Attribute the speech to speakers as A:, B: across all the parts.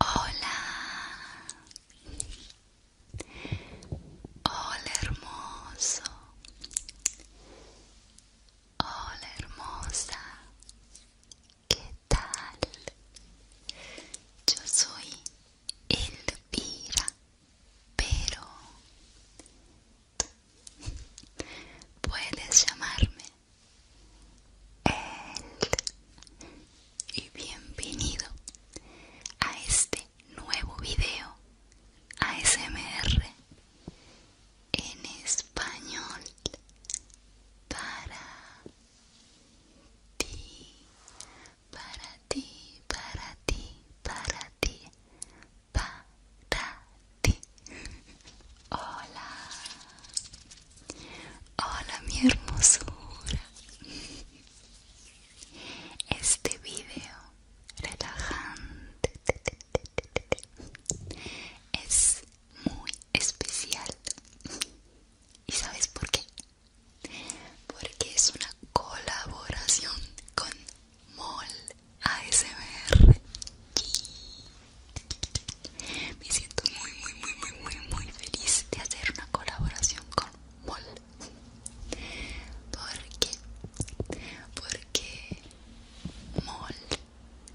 A: Hola, hola hermoso, hola hermosa, ¿Qué tal? Yo soy Elvira, pero puedes llamarme El y bienvenido a este nuevo video ASMR en español para ti, para ti, para ti, para ti, para ti. Hola, hola mi hermosura. Este video relajante es muy especial. ¿Y sabes por qué? Porque es una colaboración con Mol ASMR. Me siento muy, muy, muy, muy, muy, muy feliz de hacer una colaboración con Mol. ¿Por Porque Mol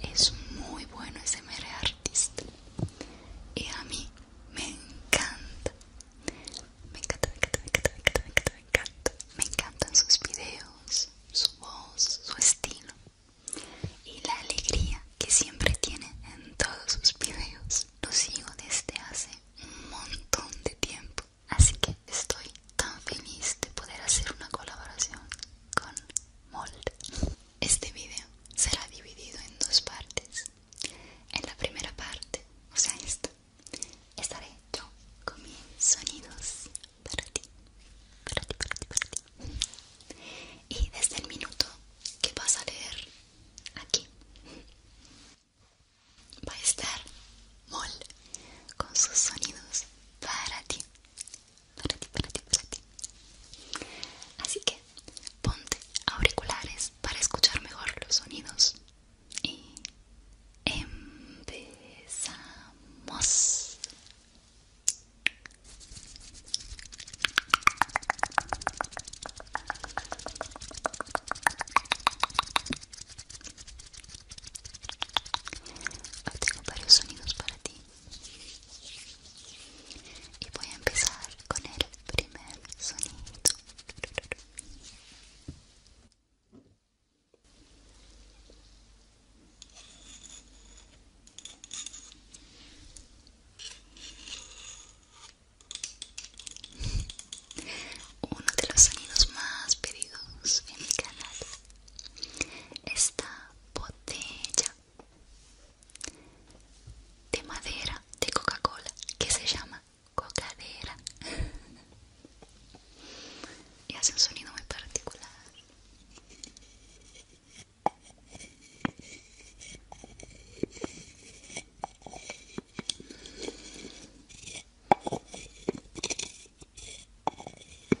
A: es muy bueno MR artista y a mí me encanta me encanta, me encanta, me encanta, me encanta, me encanta, me encanta me encantan sus videos, su voz, su estilo y la alegría que siempre tiene en todos sus videos lo sigo desde hace un montón de tiempo así que estoy tan feliz de poder hacer una colaboración con Mold este video será dividido en dos partes. En la primera parte, o sea, esto, estaré yo con mis sonidos para ti, para ti. Y desde el minuto que vas a leer aquí, va a estar Mol con sus sonidos para ti para Así que ponte auriculares para escuchar mejor los sonidos y empezamos. tengo varios sonidos para ti. Y voy a empezar con el primer sonido. Uno de los sonidos más pedidos en mi canal. Esta botella de madera de Coca-Cola que se llama cocadera y hace un sonido muy particular.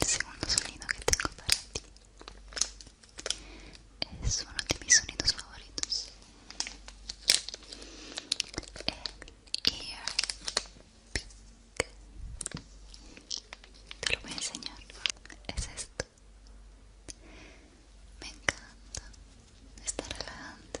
B: El segundo sonido que tengo para ti es uno de mis sonidos favoritos. El ear Te lo voy a enseñar. Es esto. Me encanta. Está relajante.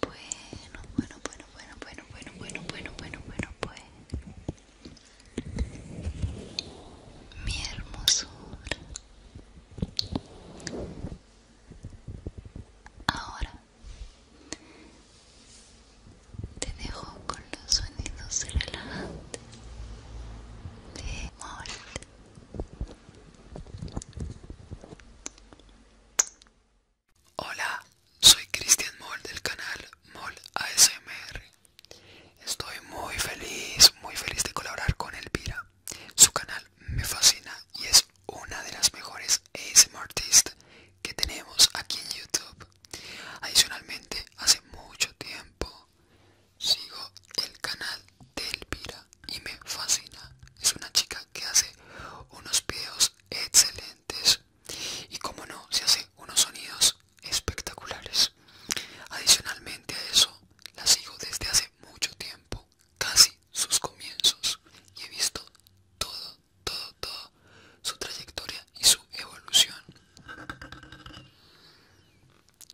A: Bueno, bueno, bueno, bueno, bueno, bueno, bueno, bueno, bueno, bueno, bueno. Mi hermosura. Ahora te dejo con los sonidos relajantes de Mold. Hola, soy Cristian Moll del canal Moll ASMR. Estoy muy feliz, muy feliz de colaborar con Elvira. Su canal me fascina y es una de las mejores ASMRtist que tenemos aquí en YouTube. Adicionalmente, hace mucho tiempo sigo el canal de Elvira y me fascina. Es una chica que hace unos videos excelentes y como no se hace unos sonidos espectaculares adicionalmente a eso la sigo desde hace mucho tiempo casi sus comienzos y he visto todo todo todo su trayectoria y su evolución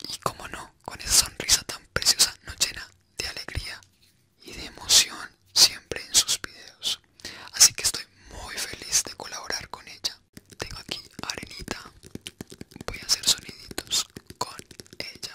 A: y como no con esa sonrisa tan preciosa No llena de alegría y de emoción siempre en sus videos así que estoy muy feliz de colaborar con ella tengo aquí arenita voy a hacer soniditos con ella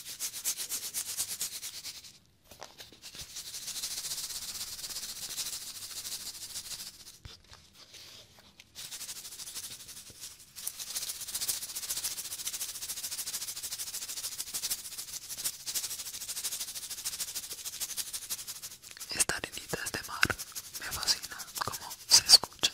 A: Esta arenita de mar, me fascina como se escucha.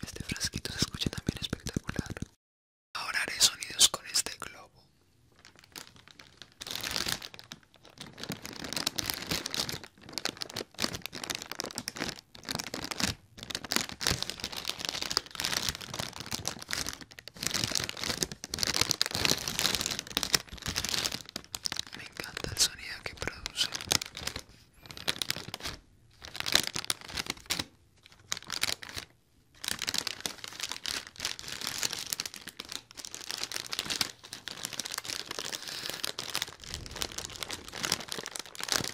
A: Este frasquito se escucha también espectacular. Ahora haré sonidos con este globo. Me encanta el sonido que produce.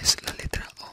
A: es la letra O.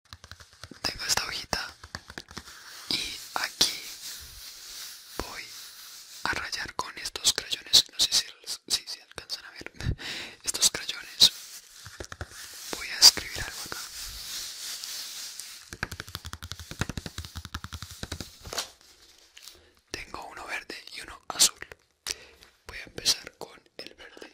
A: tengo esta hojita y aquí voy a rayar con estos crayones no sé si, si, alcanzan a ver estos crayones voy a escribir algo acá tengo uno verde y uno azul
B: voy a empezar con el verde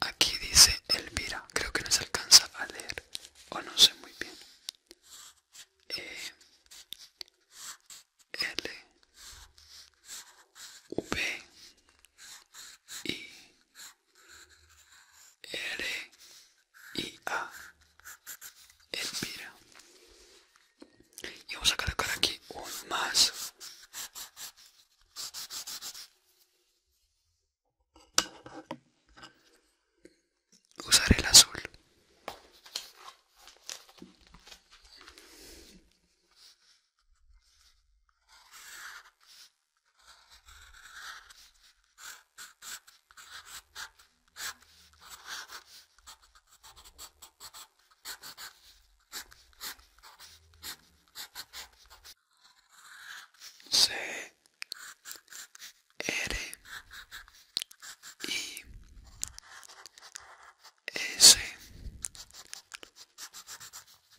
B: Aquí dice Elvira, creo que no se alcanza a leer, o no sé muy bien. E, L, V, I, R, I, A, Elvira. Y vamos a cargar aquí un más. Usaré el azul.
A: C R I S T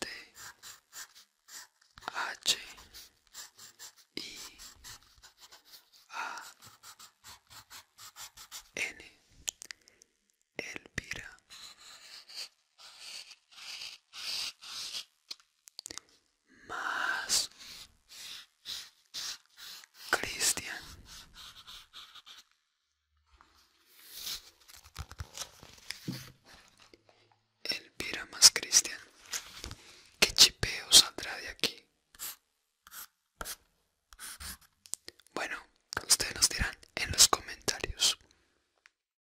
A: H I A N Pira más Cristian pira más Cristian que chipeo saldrá de aquí? Bueno, ustedes nos dirán en los comentarios